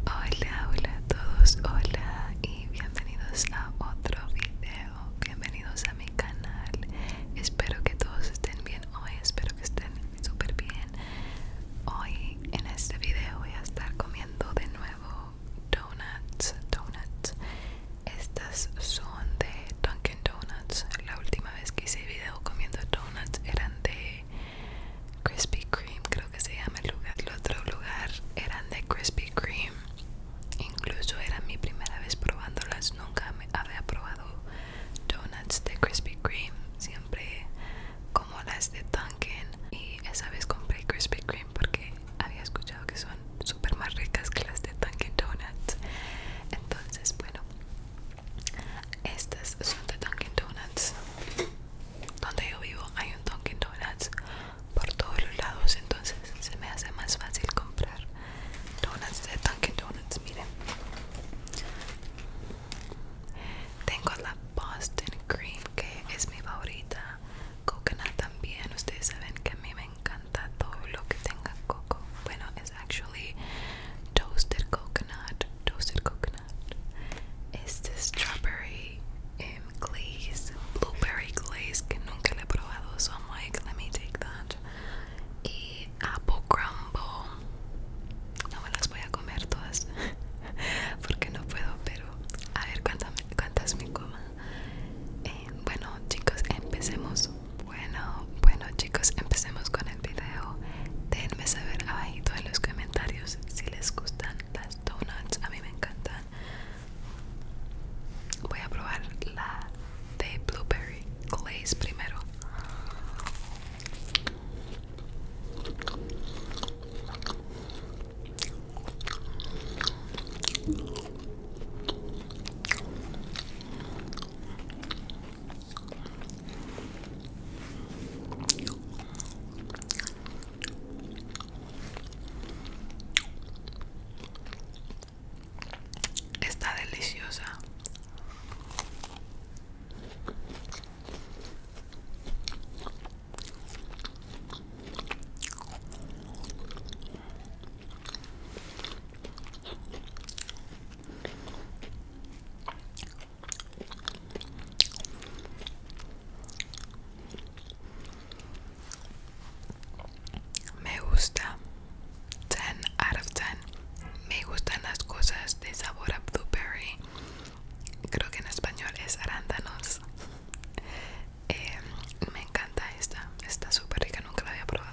Hola, hola a todos, hola y bienvenidos a otro video, bienvenidos a mi canal, espero que todos estén bien hoy, espero que estén súper bien. Hoy en este video voy a estar comiendo de nuevo donuts, donuts, estas son de Dunkin Donuts, la última vez que hice video comiendo donuts eran de Krispy Cream creo que se llama el lugar el otro lugar eran de Krispy Cream incluso era mi primera vez probándolas nunca había probado donuts de Krispy Cream siempre como las de Dunkin y esa vez compré Krispy Cream porque había escuchado que son súper más ricas que las de Dunkin Donuts entonces bueno estas son de Dunkin Donuts donde yo vivo hay un Dunkin' Donuts por todos los lados, entonces se me hace más fácil comprar donuts de Dunkin' Donuts. Miren, tengo la Boston Cream que es mi favorita, coconut también. Ustedes saben que a mí me encanta todo lo que tenga coco. Bueno, es actually toasted coconut coconut, toasted coconut. este strawberry em, glaze, blueberry glaze que nunca le he probado, so I'm like, let me take that. Y apple crumble. No me las voy a comer todas porque no puedo, pero a ver cuántas, cuántas me coma. Em, bueno, chicos, empecemos. Bueno, bueno, chicos, empecemos con el video denme saber abajito en los comentarios si les gustan las donuts a mí me encantan voy a probar la de blueberry glaze primero Está deliciosa. Me gusta 10 out of 10. Me gustan las cosas de sabor a blueberry. Creo que en español es arándanos. Eh, me encanta esta. Está súper rica, nunca la había probado.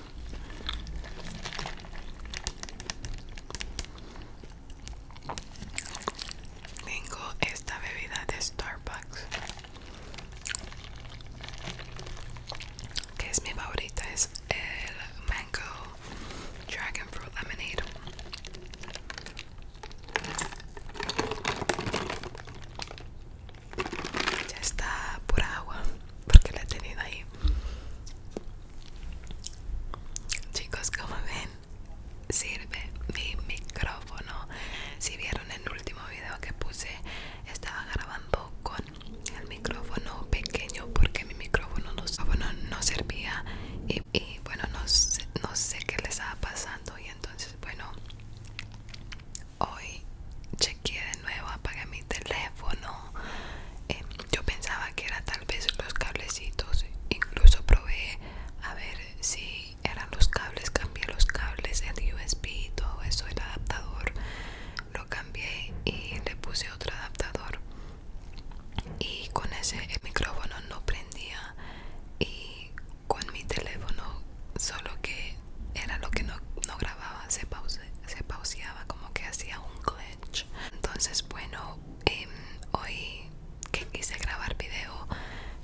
Tengo esta bebida de Starbucks que es mi favorita, es el Mango Dragon Fruit Lemonade. Ya está pura agua porque la he tenido ahí Chicos, como ven, sirve mi micrófono. Si vieron el último video que puse, estaba grabando con el micrófono pequeño porque mi micrófono no, no servía. Y, bueno, no sé, no sé qué les estaba pasando. Y entonces, bueno, hoy chequeé de nuevo, apagué mi teléfono. Em, yo pensaba que era tal vez los cablecitos. Incluso probé a ver si eran los cables. Cambié los cables, el USB, y todo eso, el adaptador. Lo cambié y le puse otro adaptador. Y con ese el micrófono no prendía. Y con mi teléfono solo que era lo que no, grababa, se, pauseaba, como que hacía un glitch. Entonces, bueno, em, hoy que quise grabar video,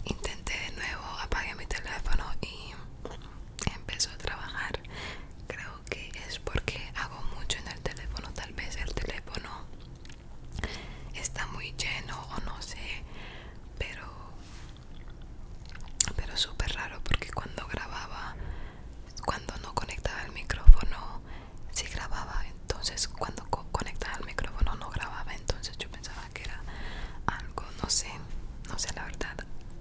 intenté de nuevo, apagué mi teléfono y empezó a trabajar. Creo que es porque hago mucho en el teléfono, tal vez el teléfono está muy lleno o no sé, pero pero súper raro porque cuando grababa cuando no conectaba el micrófono si grababa entonces cuando conectaba el micrófono no grababa entonces yo pensaba que era algo no sé no sé la verdad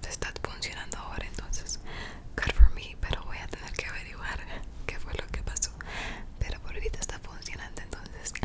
está funcionando ahora entonces car for me pero voy a tener que averiguar qué fue lo que pasó pero por ahorita está funcionando entonces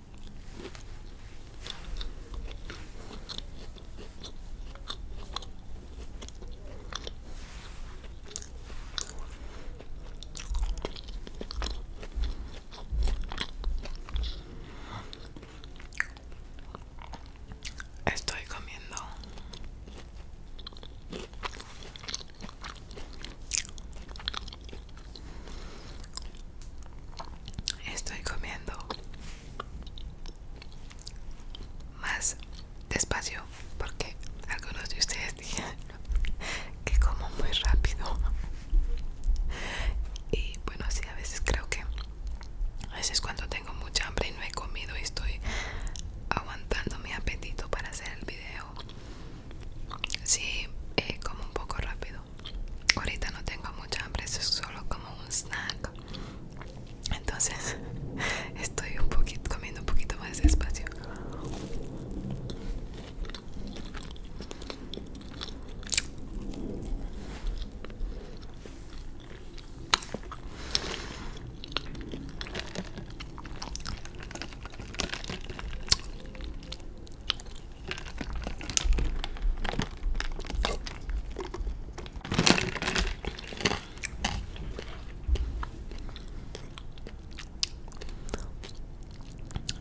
Estoy comiendo Estoy comiendo más despacio porque algunos de ustedes dijeron que como muy rápido. Y bueno, sí, a veces creo que a veces cuando tengo mucha hambre y no he comido y estoy aguantando mi apetito para hacer el video Sí, eh, como un poco rápido. Ahorita no tengo mucha hambre, es solo como un snack. Entonces estoy un poquito comiendo un poquito más despacio.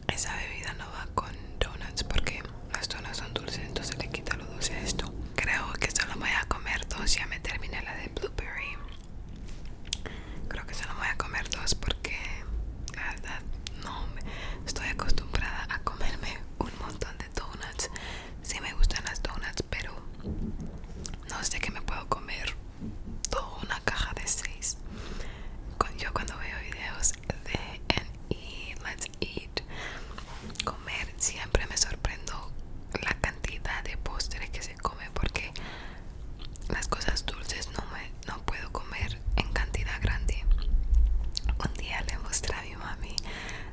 Esa bebida no va con donuts porque las donuts son dulces, entonces le quita lo dulce a esto. Creo que solo voy a comer dos, ya me terminé la de blueberry. Creo que solo voy a comer dos porque la verdad no estoy acostumbrada a comerme un montón de donuts. si me gustan las donuts, pero no sé que me puedo comer toda una caja de seis. Yo cuando veo videos de eat Let's Eat, comer, siempre me sorprendo la cantidad de postres que se come porque las cosas dulces no me no puedo comer en cantidad grande un día le mostré a mi mami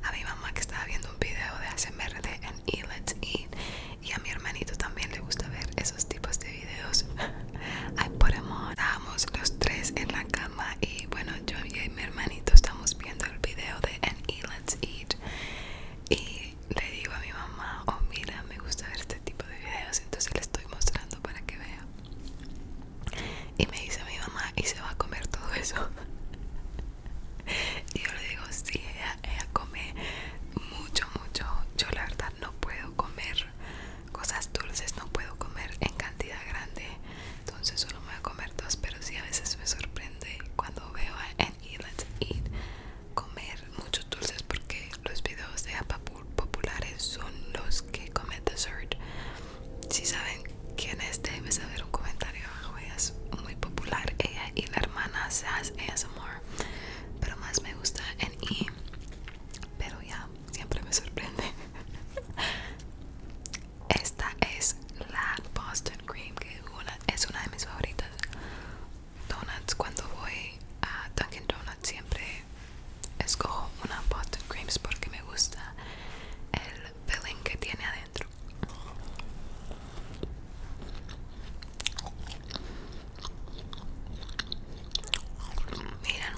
a mi mamá que estaba viendo un video de ASMR de An E Let's Eat y a mi hermanito también le gusta ver esos tipos de videos ay por amor estábamos los tres en la cama y bueno yo y mi hermanito estamos viendo el video de en E Let's Eat y le digo a mi mamá, oh mira, me gusta ver este tipo de videos, entonces le estoy mostrando para que vea. Y me dice mi mamá, ¿y se va a comer todo eso? y yo le digo, sí, ella, come mucho, mucho. Yo la verdad no puedo comer cosas dulces, no puedo comer en cantidad grande. Entonces solo me voy a comer dos, pero sí a veces me sorprende cuando veo a Eat Let's Eat comer muchos dulces porque los videos de Apa populares son los que comen dessert. Si saben quién es, déjenme saber un comentario abajo. es muy popular, ella y la hermana es amor pero más me gusta en y Pero ya, siempre me sorprende. Esta es la Boston Cream, que una, es una de mis favoritas donuts cuando voy a Dunkin Donuts siempre escojo una pot creams porque me gusta el pelín que tiene adentro miren miren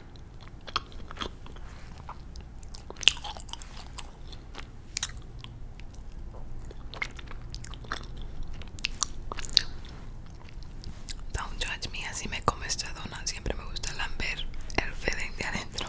Don't judge me, así me come esta dona. Siempre me gusta lamber el Fede de adentro.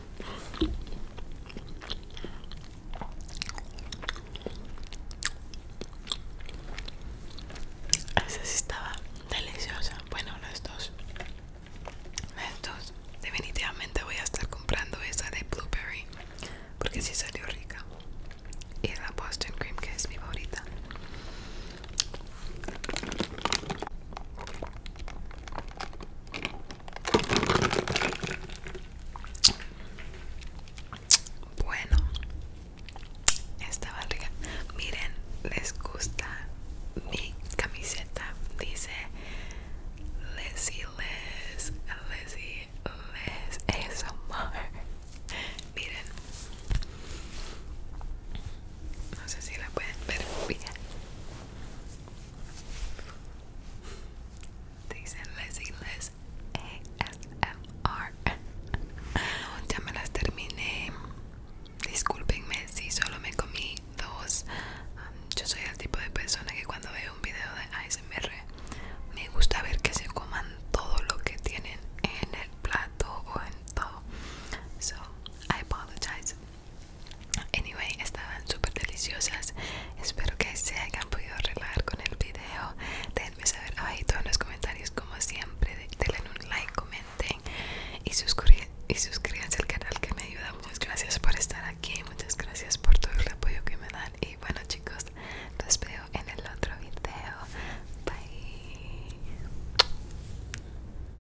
Esa sí estaba deliciosa. Bueno, las dos. Las Definitivamente voy a estar comprando esa de blueberry. Porque sí salió rica. Y la Boston Cream, que es mi favorita. Bueno, Esta barriga. Miren, les gusta mi camiseta. Dice Leslie Les, Leslie Les, amor Miren, no sé si la pueden ver. bien. Te dicen A Les ASMR. R ya me las terminé. Disculpenme si solo me comí dos. Um, yo soy el tipo de persona que cuando veo un video de ASMR me gusta ver que se coman todo lo que tienen en el plato o en todo. So I apologize. Anyway, estaban súper deliciosas. Espero que se hayan podido relajar con el video. Déjenme saber abajito en los comentarios, como siempre. Denle un like, comenten y, y suscríbanse al canal que me ayuda. Muchas gracias por estar aquí. Muchas gracias por todo el apoyo que me dan. Y bueno, chicos, los veo en el otro video. Bye.